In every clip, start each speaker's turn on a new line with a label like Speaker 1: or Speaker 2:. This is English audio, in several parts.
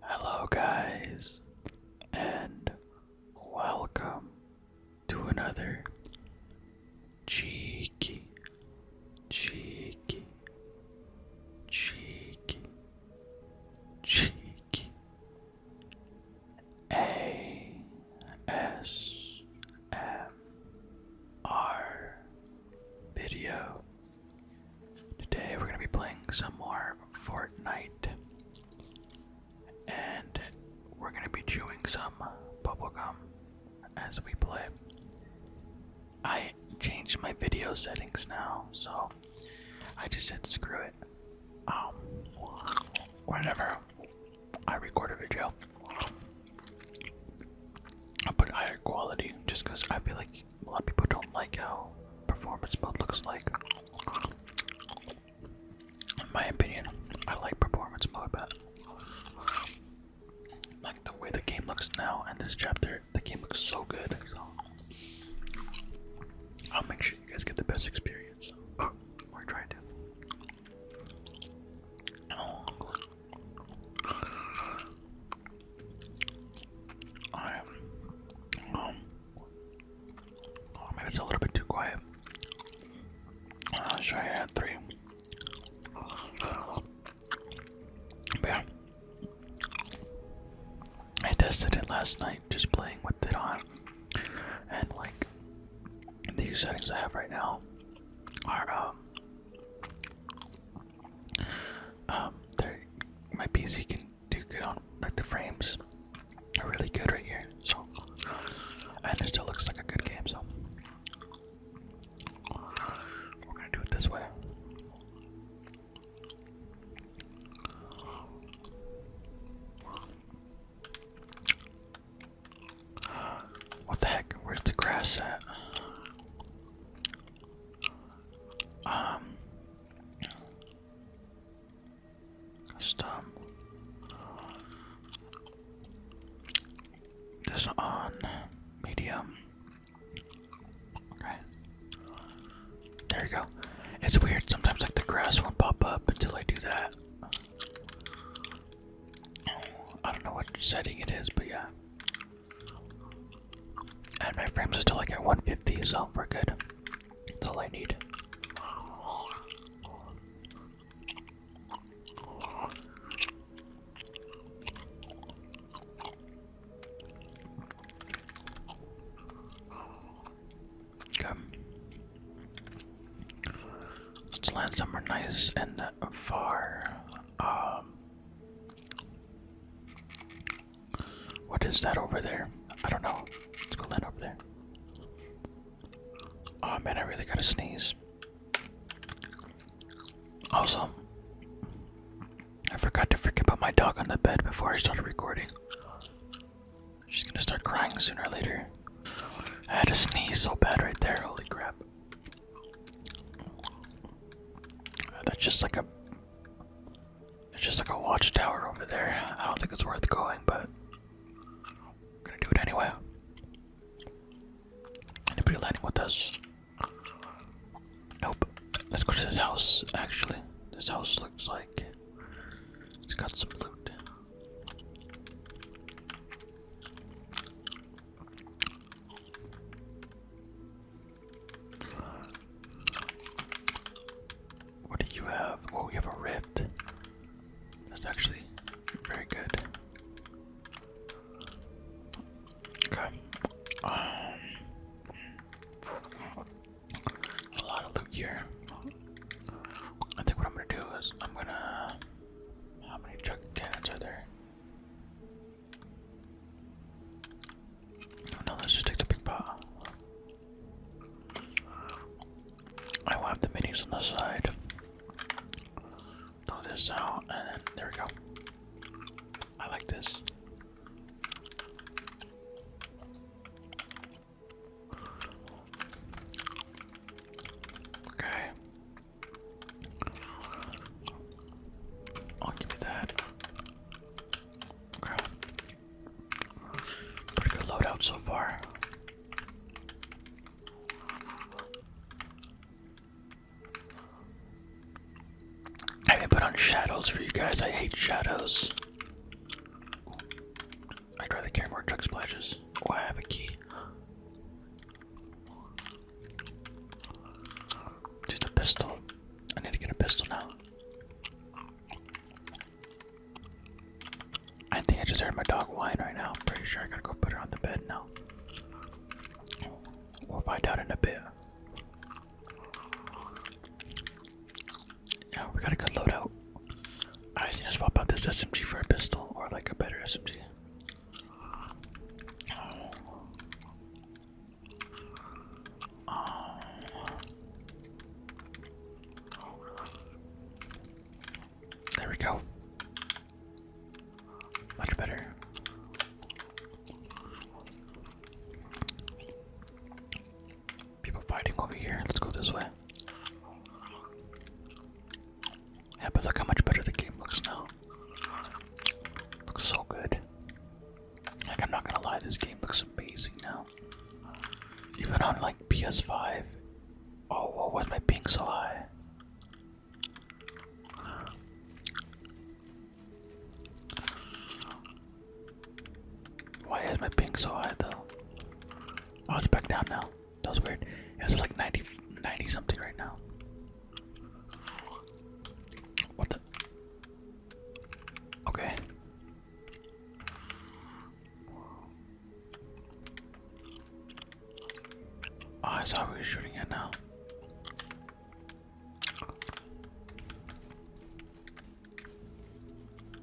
Speaker 1: Hello, guys, and welcome to another cheeky, cheeky, cheeky, cheeky ASMR video. Today we're gonna be playing some more Fortnite. And we're gonna be chewing some bubble gum as we play. I changed my video settings now, so I just said screw it. Um whenever I record a video. i put higher quality just I feel like a lot of people don't like how performance mode looks like. In my opinion, I like performance mode, but like the way the game looks now and this chapter, the game looks so good. I'll make sure you guys get the best experience. or try to. Oh. I um oh, maybe it's a little bit too quiet. I'll uh, try it at three. yeah. I tested it last night just playing with it on and like the settings I have right now are um um, there, my PC can do good on like the frames are really good right here. So and it still looks like a good game. So we're gonna do it this way. What the heck? Where's the grass at? Um, Custom. This on medium. Okay. There you go. It's weird. Sometimes like the grass won't pop up until I do that. I don't know what setting it is, but yeah. And my frames are still like at 150, so we're good. That's all I need. Okay. Let's land somewhere nice and far. Um, what is that over there? I don't know. Let's go land over there. Oh man, I really gotta sneeze. Also, I forgot to freaking put my dog on the bed before I started recording. She's gonna start crying sooner or later. I had to sneeze so bad right there. Holy crap. That's just like a it's just like a watchtower over there. I don't think it's worth going, but gonna do it anyway. Anybody landing with us? Nope. Let's go to this house, actually. This house looks like it's got some loot. What do you have? Oh, we have a rift. That's actually very good. Okay. Um, a lot of loot here. I think what I'm gonna do is I'm gonna. How many jug cannons are there? Oh, let's just take the big pot. I will the minis on the side. Throw this out, and there we go. I like this. Okay. I'll give you that. Pretty good loadout so far. I put on shadows for you guys. I hate shadows. I'd rather carry more drug splashes. Oh, I have a key. Just a pistol. I need to get a pistol now. I think I just heard my dog whine right now. I'm pretty sure I gotta go put her on the bed now. We'll find out in a bit. Yeah, we got a good loadout. I just swap out this SMG for a pistol or like a better SMG. Um, there we go. Much better. People fighting over here. Let's go this way. Yeah, but look how much better the game looks now. Looks so good. Like, I'm not gonna lie, this game looks amazing now. Even on like PS5. Oh, whoa, is my ping so high? Why is my ping so high though? Oh, I was back down now. That was weird. It was like 90, 90 something right now. What the? Okay. Oh, I saw we shooting it now.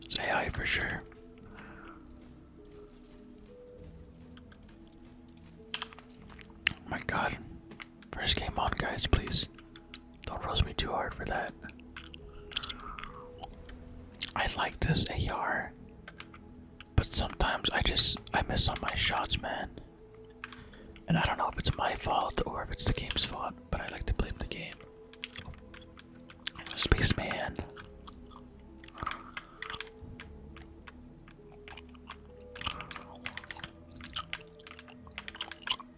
Speaker 1: Say hi for sure. Oh my god. First game on, guys, please. Don't roast me too hard for that. I like this AR, but sometimes I just I miss on my shots, man. And I don't know if it's my fault or if it's the game's fault, but I like to blame the game. Space man.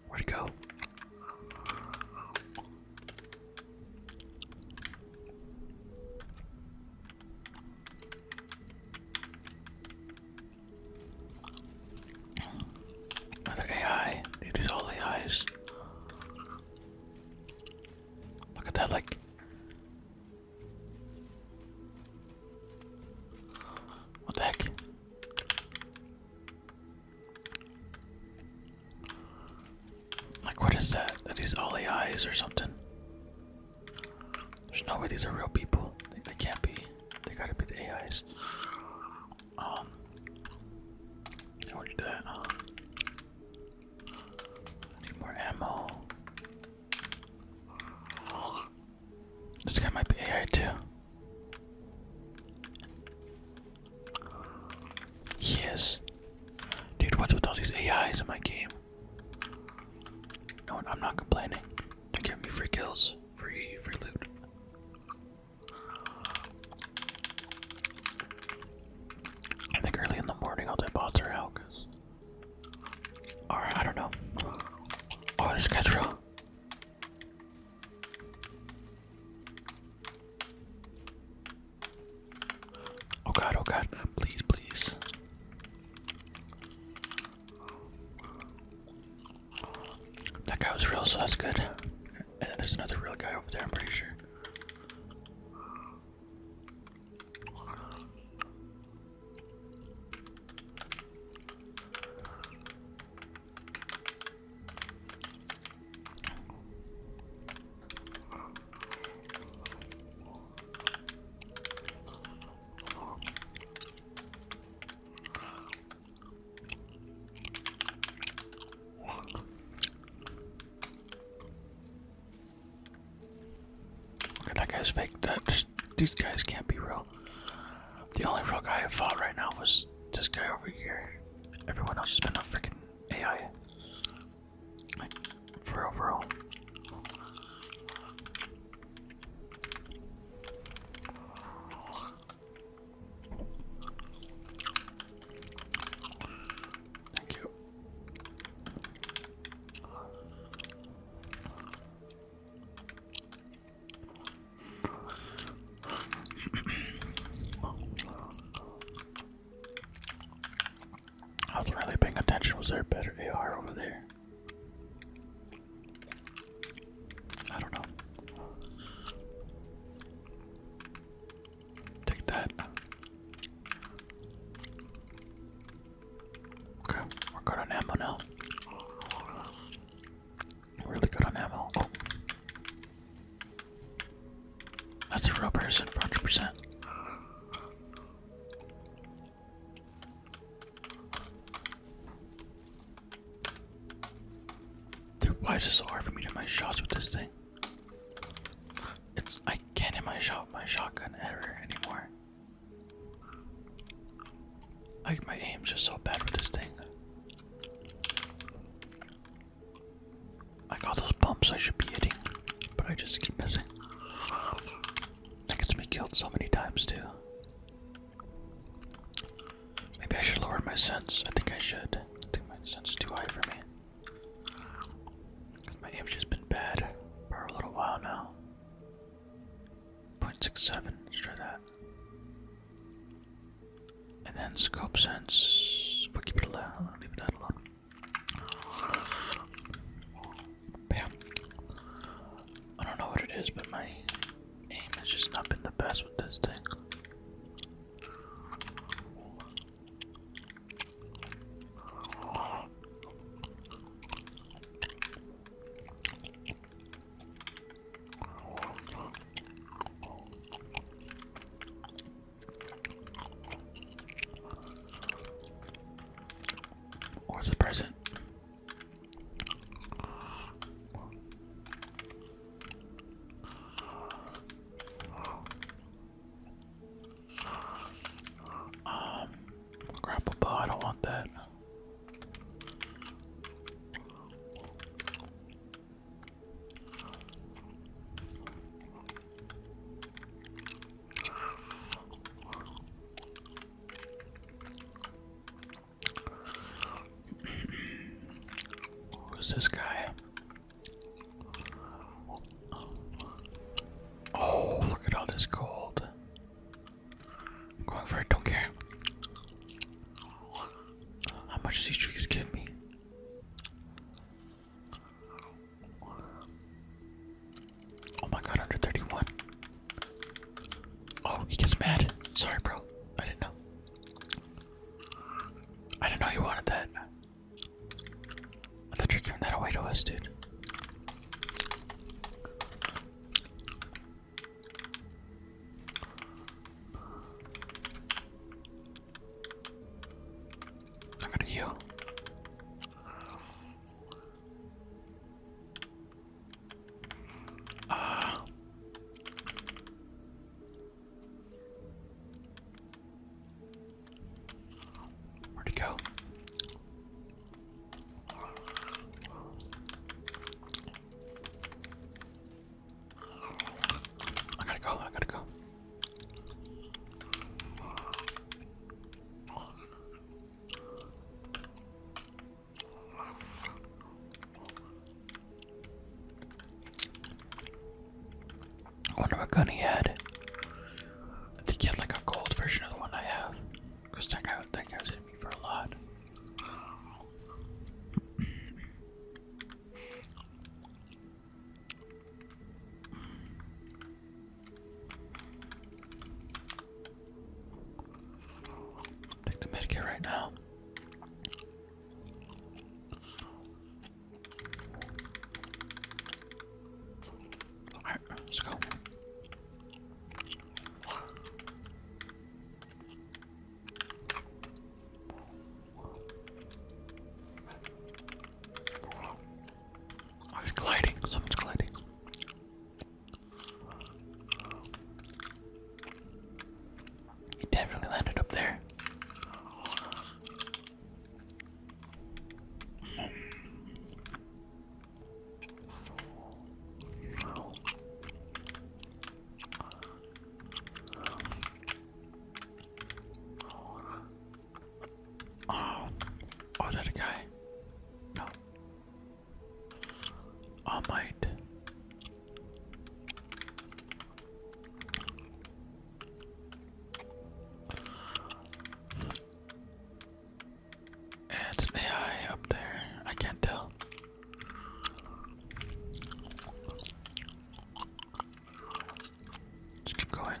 Speaker 1: Where'd it go? Another AI. It is all AIs. Look at that, like. What the heck? Like, what is that? Are these all eyes or something? There's no way these are real people. They, can't be. They gotta be the AIs. Um, I want to do that. need more ammo. This guy might be AI too. Yes. Dude, what's with all these AIs in my game? No, I'm not complaining. They're giving me free kills, free, free loot. I think early in the morning all the bots are out, cause... Or, I don't know. Oh, this guy's real. Oh god, oh god, please, please. That guy was real, so that's good. And then there's another real guy over there, I'm pretty sure. Okay, that guy's fake. these guys can't be real. The only real guy I fought right now was this guy over here. Everyone else has been a freaking AI. for real, Thank you. I was really paying attention. Was there a better AR over there? I don't know. Take that. Okay, we're good on ammo Really good on ammo. Oh. That's a real person, 100%. why is it so hard for me to do my shots with this thing? It's I can't hit my shot my shotgun ever anymore. Like my aim's just so bad with this thing. I got those bumps I should be hitting, but I just keep missing. That gets me killed so many times too. Maybe I should lower my sense. I think I should. I think my sense is too high for me. My aim's just been bad for a little while now. 0.67, let's try that. And then scope sense. We'll keep it alone. I'll leave that alone. Yeah. I don't know what it is, but my aim has just not been the best with this thing. Or the present? Um, grapple bow, I don't want that. Who's this guy? Oh, look at all this gold. I'm going for it, don't care. How much does each piece give me? Oh my god, under 31. Oh, he gets mad. Sorry, bro. I didn't know. I didn't know you wanted that. I thought you were giving that away to us, dude. I'm gonna heal. Uh. where'd he go? I gotta go, I gotta go. I wonder what gun he had. I think he had like a gold version of the one I have. that guy, that guy was me for a lot. Take the medkit right now. Alright, let's go. Oh, he's gliding. Someone's gliding. He definitely landed up there. Oh, oh, that guy? No. Oh, I might. It's an AI up there. I can't tell. Just keep going.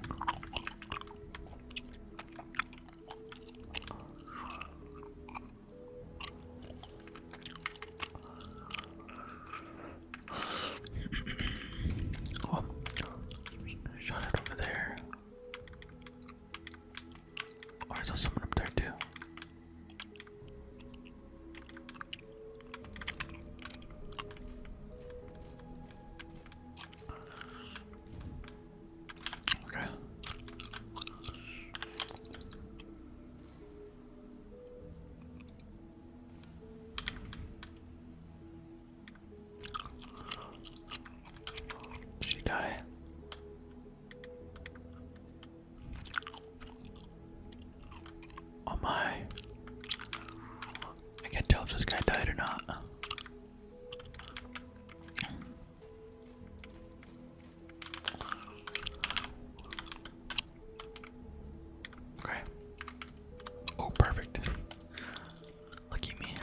Speaker 1: oh, shot it over there. Or oh, I someone up there too. Okay. Did she die? Oh my. I can't tell if this guy died or not. Okay. Oh, perfect. Lucky me.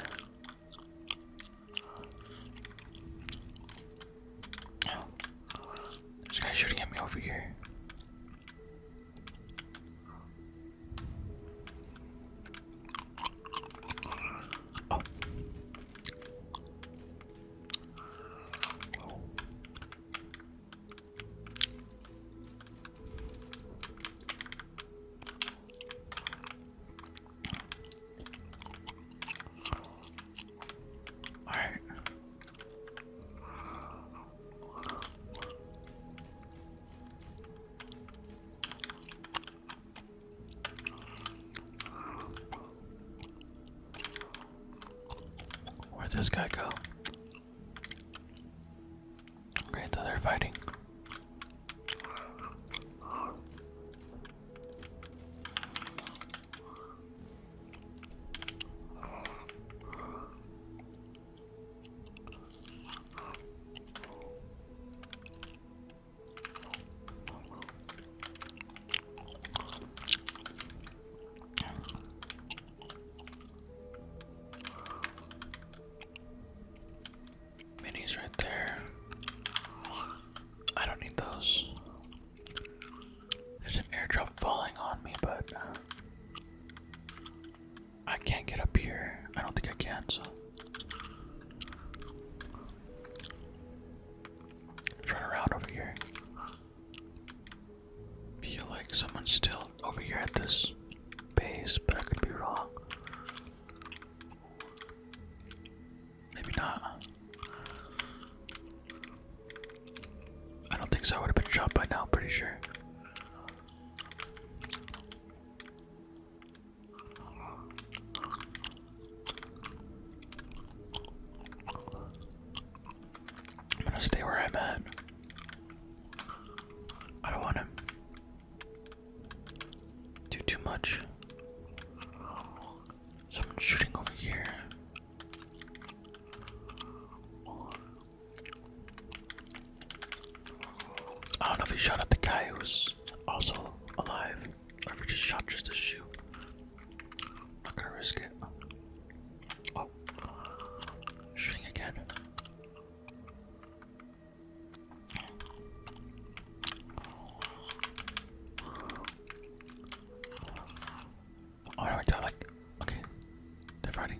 Speaker 1: Oh. There's shooting at me over here. Oh. Oh. All right. Where'd this guy go? Great, so they fighting. Minis right there. I don't need those. There's an airdrop falling on me, but I can't get up here. I don't think I can, so. Turn around over here. Feel like someone's still over here at this base, but I could be wrong. Maybe not. I don't think so. I would have been shot by now, pretty sure. I'm gonna stay where I'm at. I don't want to do too much. Someone's shooting over here. I don't know if he shot at the guy who was also alive, or if he just shot just to shoot. Not gonna risk it. Oh, shooting again. Oh no, I died like, okay, they're fighting.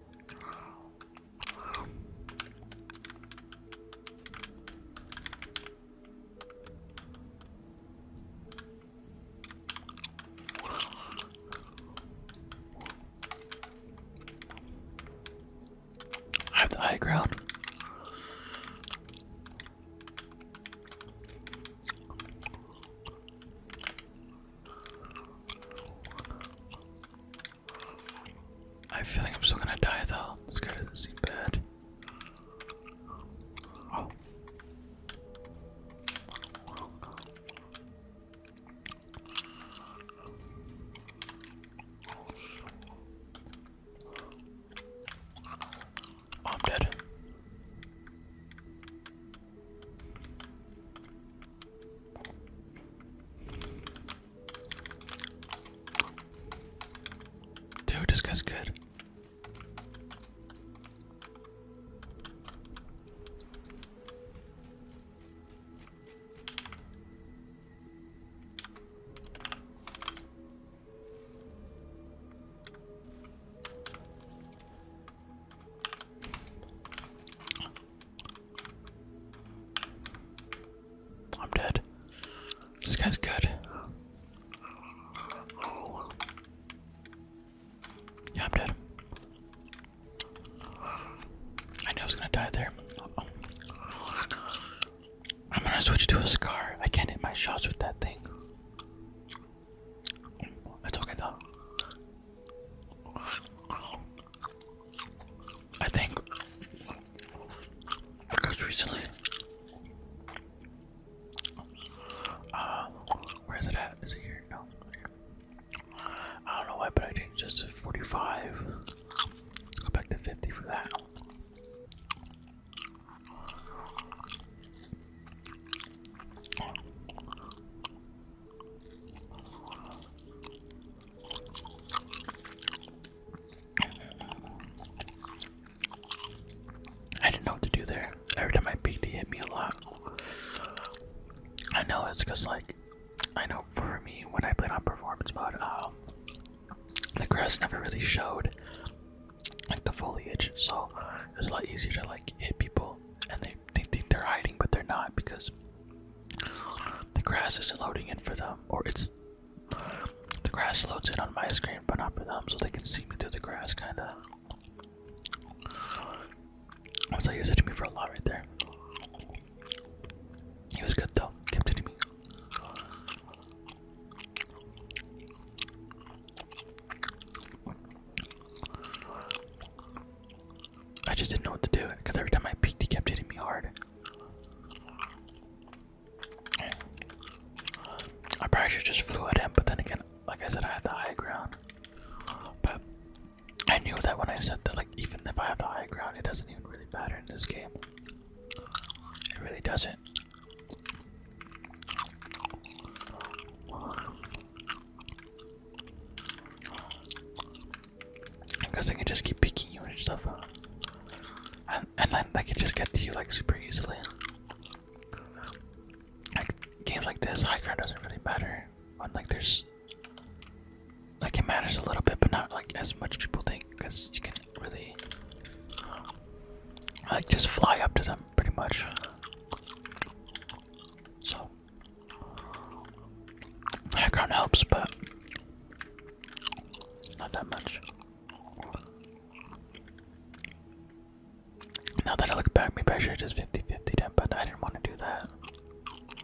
Speaker 1: I have the high ground. I feel like I'm still gonna die though. This guy doesn't seem bad. Oh. Oh, I'm dead. Dude, this guy's good. I'm dead. This guy's good. Yeah, I'm dead. I knew I was gonna die there. I'm gonna switch to a scar. I can't hit my shots with that thing. That's okay though. I think because recently, uh, where is it at? Is it here? No, I don't know why, but I changed just to 45. Let's go back to 50 for that. I didn't know what to do there. Every time I peeked, he hit me a lot. I know it's because, like, I know for me, when I played on performance mode, um, the grass never really showed, like, the foliage, so it was a lot easier to, like, hit people and they they, think they're hiding, but they're not because the grass isn't loading in for them, or it's the grass loads in on my screen, but not for them, so they can see me through the grass, kind of. So he was me for a lot right there. He was good though, kept hitting me. I just didn't know what to do because every time I peeked, he kept hitting me hard. I probably should just flew at him, but then again, like I said, I had the high ground. But I knew that when I said that, like even if I have the high ground, it doesn't even really matter in this game. It really doesn't. Because I can just keep picking you and stuff, and, and then I can just get to you like super easily. Like games like this, high ground doesn't really matter. like there's, like it matters a little bit, but not like as much people think, because you can really like just fly up to them pretty much. So Background helps, but not that much. Now that I look back, maybe I should just 50 50 but I didn't want to do that.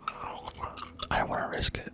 Speaker 1: I do not want to risk it.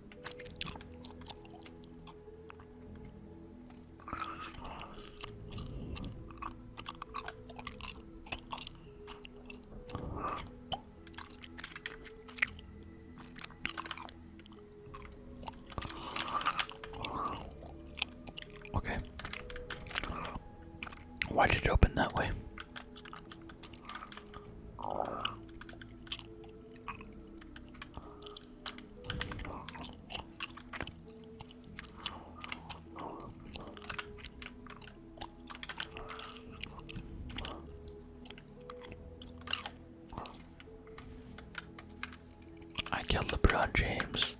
Speaker 1: Okay. Why did it open that way? I killed the LeBron James.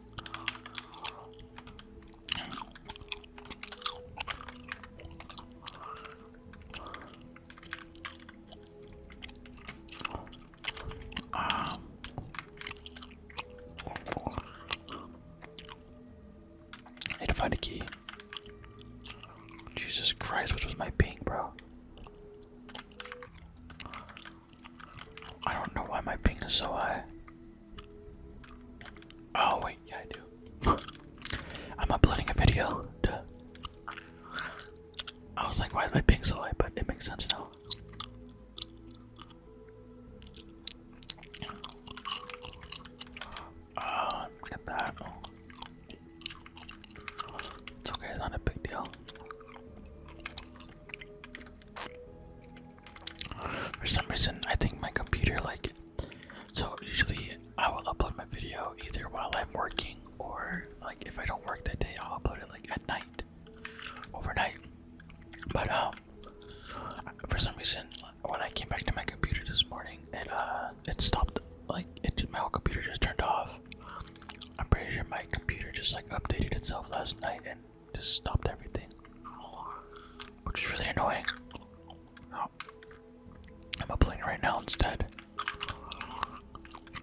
Speaker 1: I need to find a key. Jesus Christ, which was my ping, bro? I don't know why my ping is so high. Oh wait, yeah I do. I'm uploading a video. I was like, why is my so light? But it makes sense now. look uh, at that. It's okay, it's not a big deal. For some reason, I think my computer like. So usually I will upload my video either while I'm working or like if I don't work that day, I'll upload it like at night, overnight. But um, for some reason, when I came back to my computer this morning, it uh, it stopped. Like it, my whole computer just turned off. I'm pretty sure my computer just like updated itself last night and just stopped everything, which is really annoying. Oh. I'm uploading right now instead.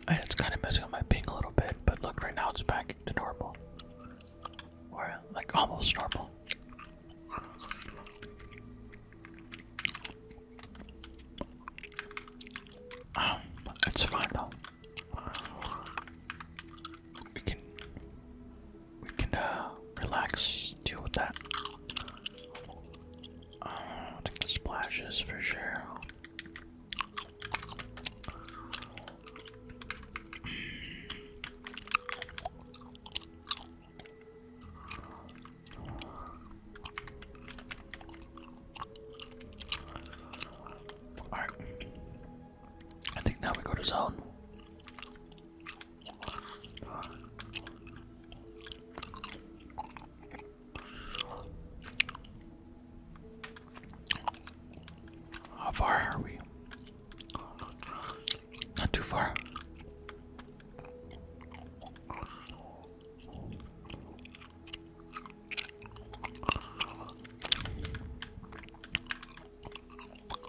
Speaker 1: And it's kind of messing up my ping a little bit, but look, right now it's back to normal. Or, like, almost normal. Um, it's fine though. We can, we can, uh, relax, deal with that. Um, splashes for sure. Alright. I think now we go to zone. How far are we? Not too far.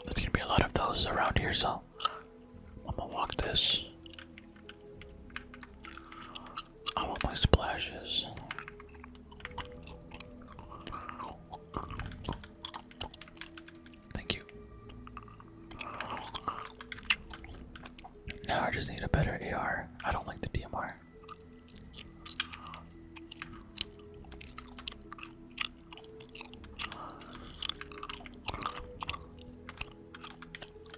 Speaker 1: There's gonna be a lot of those around here, so I'm gonna walk this. I want my splashes. Thank you. Now I just need a better AR. I don't like the DMR.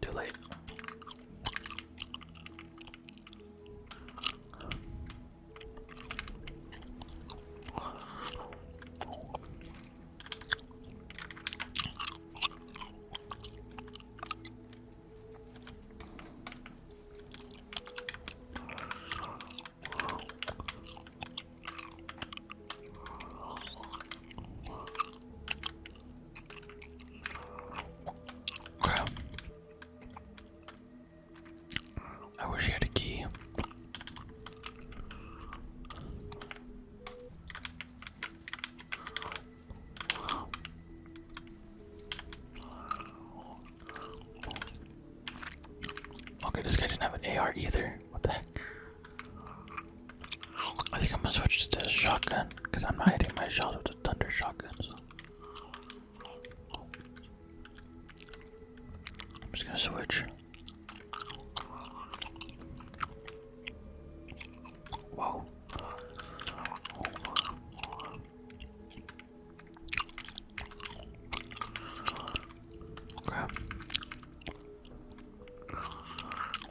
Speaker 1: Too late. I wish he had a key. Okay, this didn't have an AR either. What the heck? I think I'm gonna switch to this shotgun because I'm not hitting my shells with the thunder shotgun. I'm just gonna switch. Whoa. Crap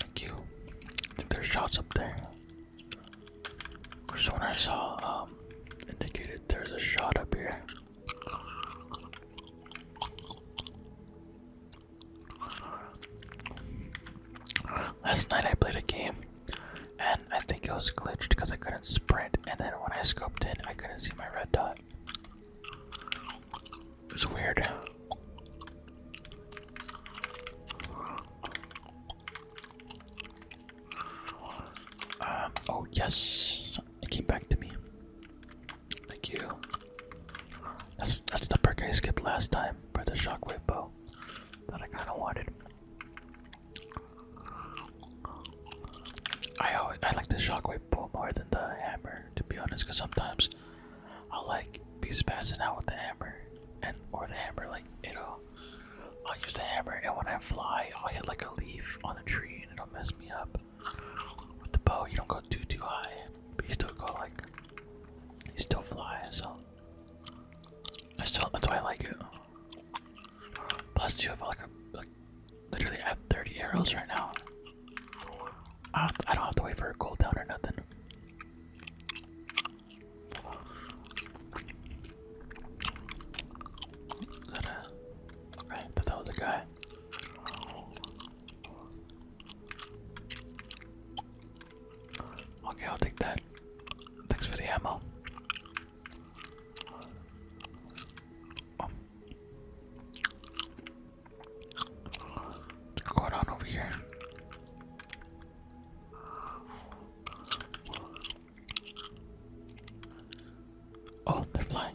Speaker 1: Thank you. I think there's shots up there. Because the I saw um, indicated there's a shot up here. Last night I played a game and I think it was glitched because I couldn't sprint, and then when I scoped in, I couldn't see my red dot. It was weird. Um, oh, yes, it came back to me. Thank you. That's that's the perk I skipped last time for the shockwave bow that I kind of wanted. I always I like the shockwave bow more than the hammer, to be honest, because sometimes I'll like be spazzing out with the hammer and or the hammer like it'll I'll use the hammer and when I fly I'll hit like a leaf on a tree and it'll mess me up. With the bow you don't go too too high, but you still go like he still flies, so that's why I like it. Plus two if I like literally I have 30 arrows right now. I don't, have to wait for a cool down or nothing. Is that a okay, that was a guy. Okay, I'll take that. Thanks for the ammo. What's going on over here? Oh, they're flying.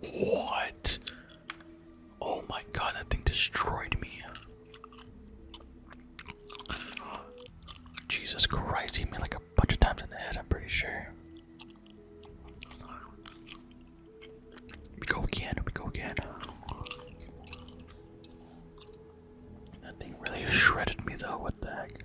Speaker 1: What? Oh my god, that thing destroyed me. Jesus Christ, he hit me like a bunch of times in the head, I'm pretty sure. We go again, we go again. That thing really shredded me though, what the heck?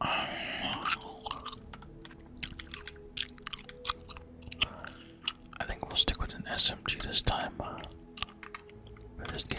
Speaker 1: I think we'll stick with an SMG this time for this game.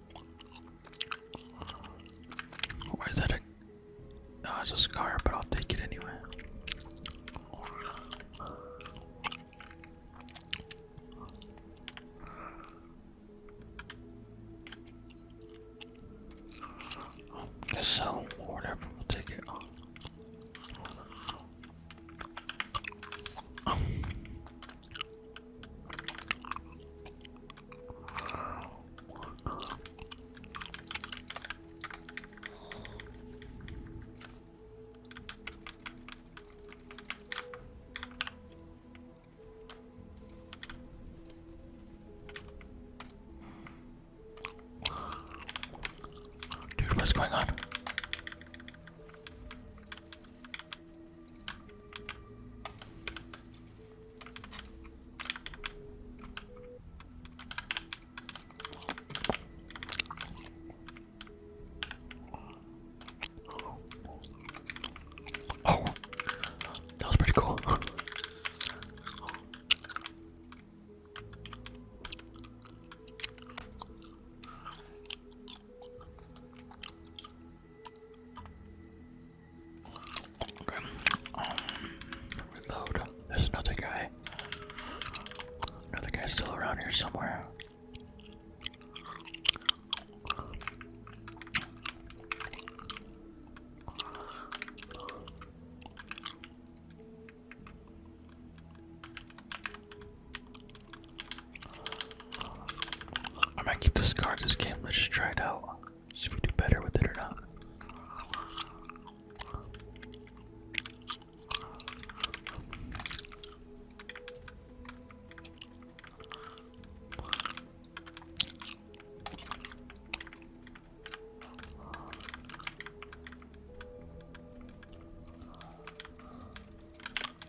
Speaker 1: Or that a. No, oh, it's a scar, but I'll take it anyway. so, whatever, we'll take it. Dude, what's going on? Oh, that was pretty cool. Okay. Um, reload. There's another guy. Another guy's still around here somewhere. I might keep this card this game. Let's just try it out. See if we do better with it or not.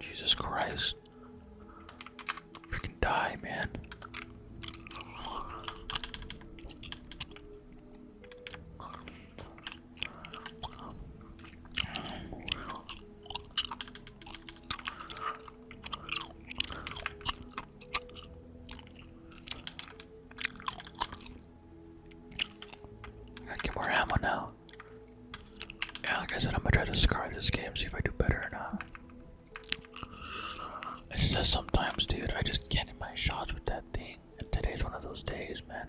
Speaker 1: Jesus Christ. Freaking die, man. I get more ammo now. Yeah, like I said, I'm gonna try to scar this game, see if I do better or not. It's just sometimes, dude, I just can't hit my shots with that thing. And today's one of those days, man.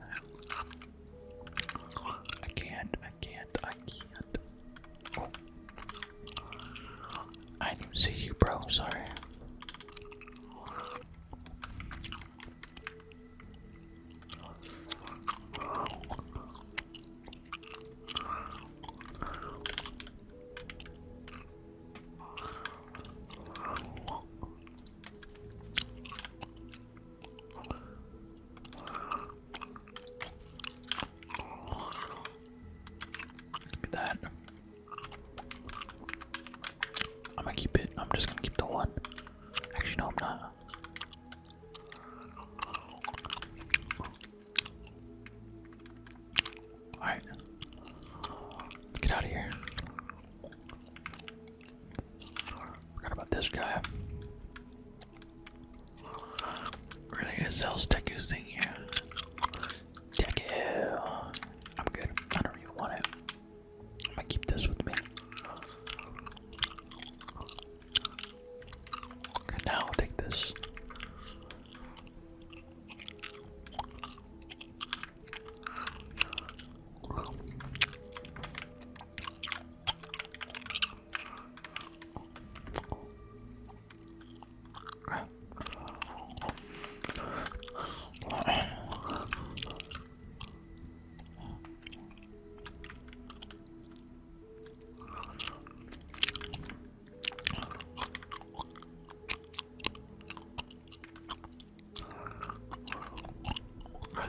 Speaker 1: I can't, I can't, I can't. I didn't see you, bro. Sorry. Look at that. I'm gonna keep it. I'm just gonna keep the one. Actually, no, I'm not. Alright. Get out of here. Forgot about this guy. we a Zel's Deku thing here. Deck it. I'm good. I don't even want it. I'm gonna keep this with me. Okay, now take this.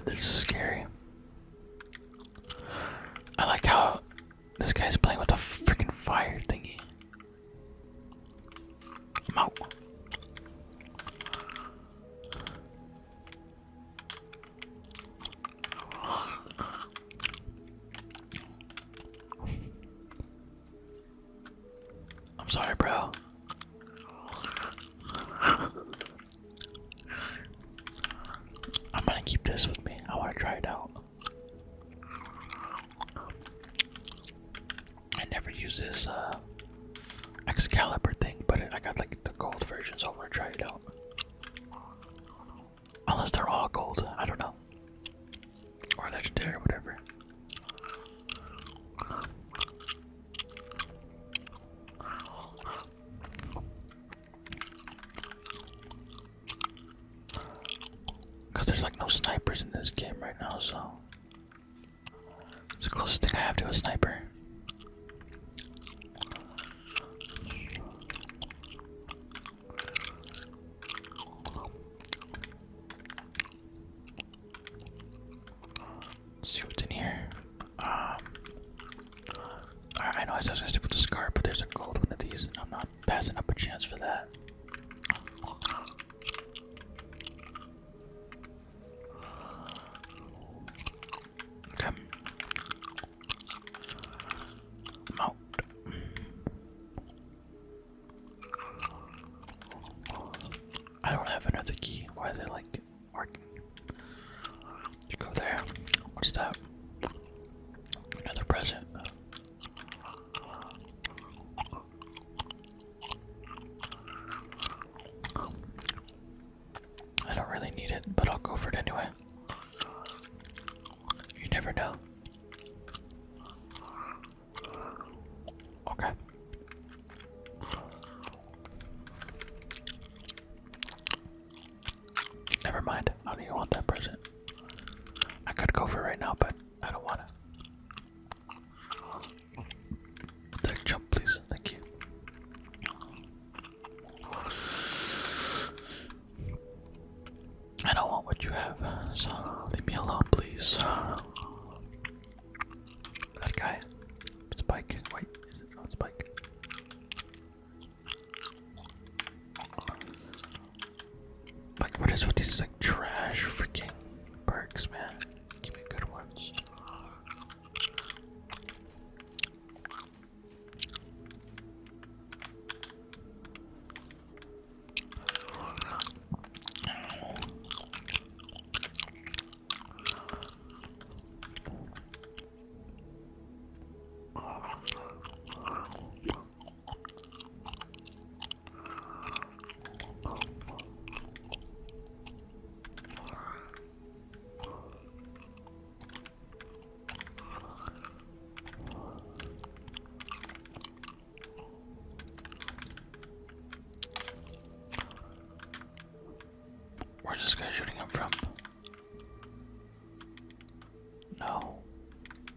Speaker 1: This is scary. I like how this guy's playing with a freaking fire thingy. I'm sorry, bro. I'm gonna keep this with me. I wanna try it out. I never use this uh, Excalibur thing, but I got like the gold version, so I'm gonna try it out. Unless they're all gold, I don't know. Or legendary, whatever. Because there's like no snipers in this game right now, so. It's the closest thing I have to a sniper. see what's in here. Um, I know I was gonna stick the scar, but there's a gold one of these, and I'm not passing up a chance for that. Okay. Mount. I don't have another key. Why is it like working? go there. What's that? Another present. I don't really need it, but I'll go for it anyway. You never know. Okay. Never mind. I don't even want that present. I could go for it right now, but I don't want it. Take jump, please. Thank you. I don't want what you have, so leave me alone, please. That guy. It's Wait, is it? No, it's like, what is with these, like, trash freaking perks, man? Give me good ones. Where's this guy shooting him from? No.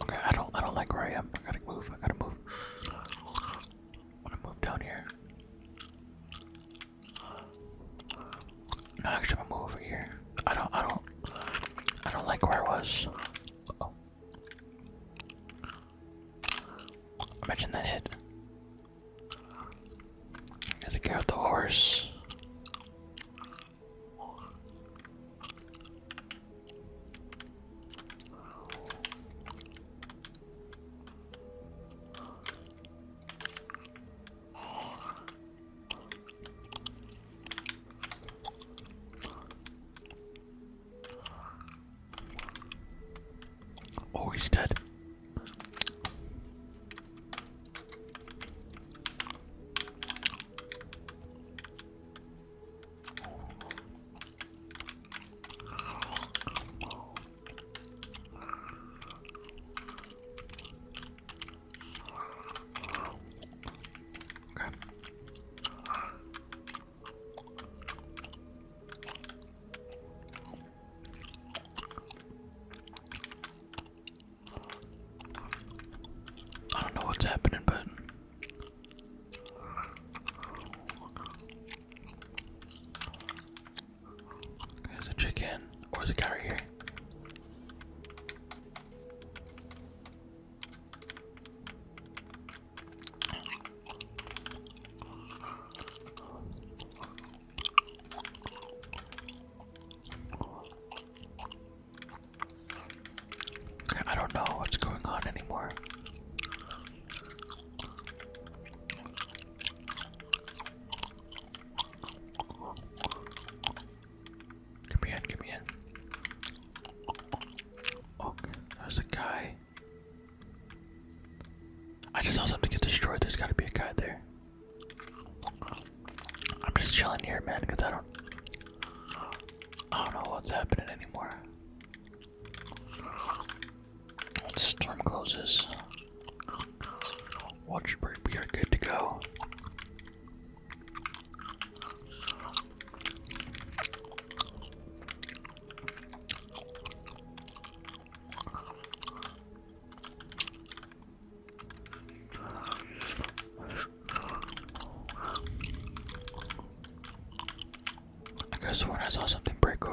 Speaker 1: Okay, I don't I don't like where I am. I gotta move, I gotta move. I to move down here. No, actually I'm gonna move over here. I don't I don't I don't like where I was. Oh. Imagine that hit. There's a guy the horse. Oh, he's dead. Okay. I don't know what's happening, but there's a chicken, or is a guy here? I don't know what's going on anymore. Give in, give in. Okay, there's a guy. I just saw something get destroyed. There's gotta be a guy there. I'm just chilling here, man, because I don't. I don't know what's happening anymore. storm closes, watch your break. We are good to go. I guess when I saw something break Oh,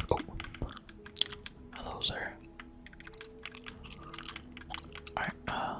Speaker 1: hello, sir. Alright, uh.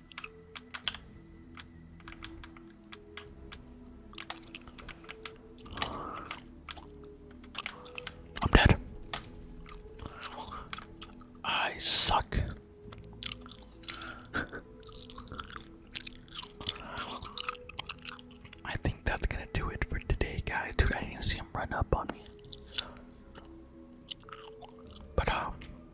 Speaker 1: I'm dead. I suck. I think that's gonna do it for today, guys. Dude, I didn't see him run up on me. But, um,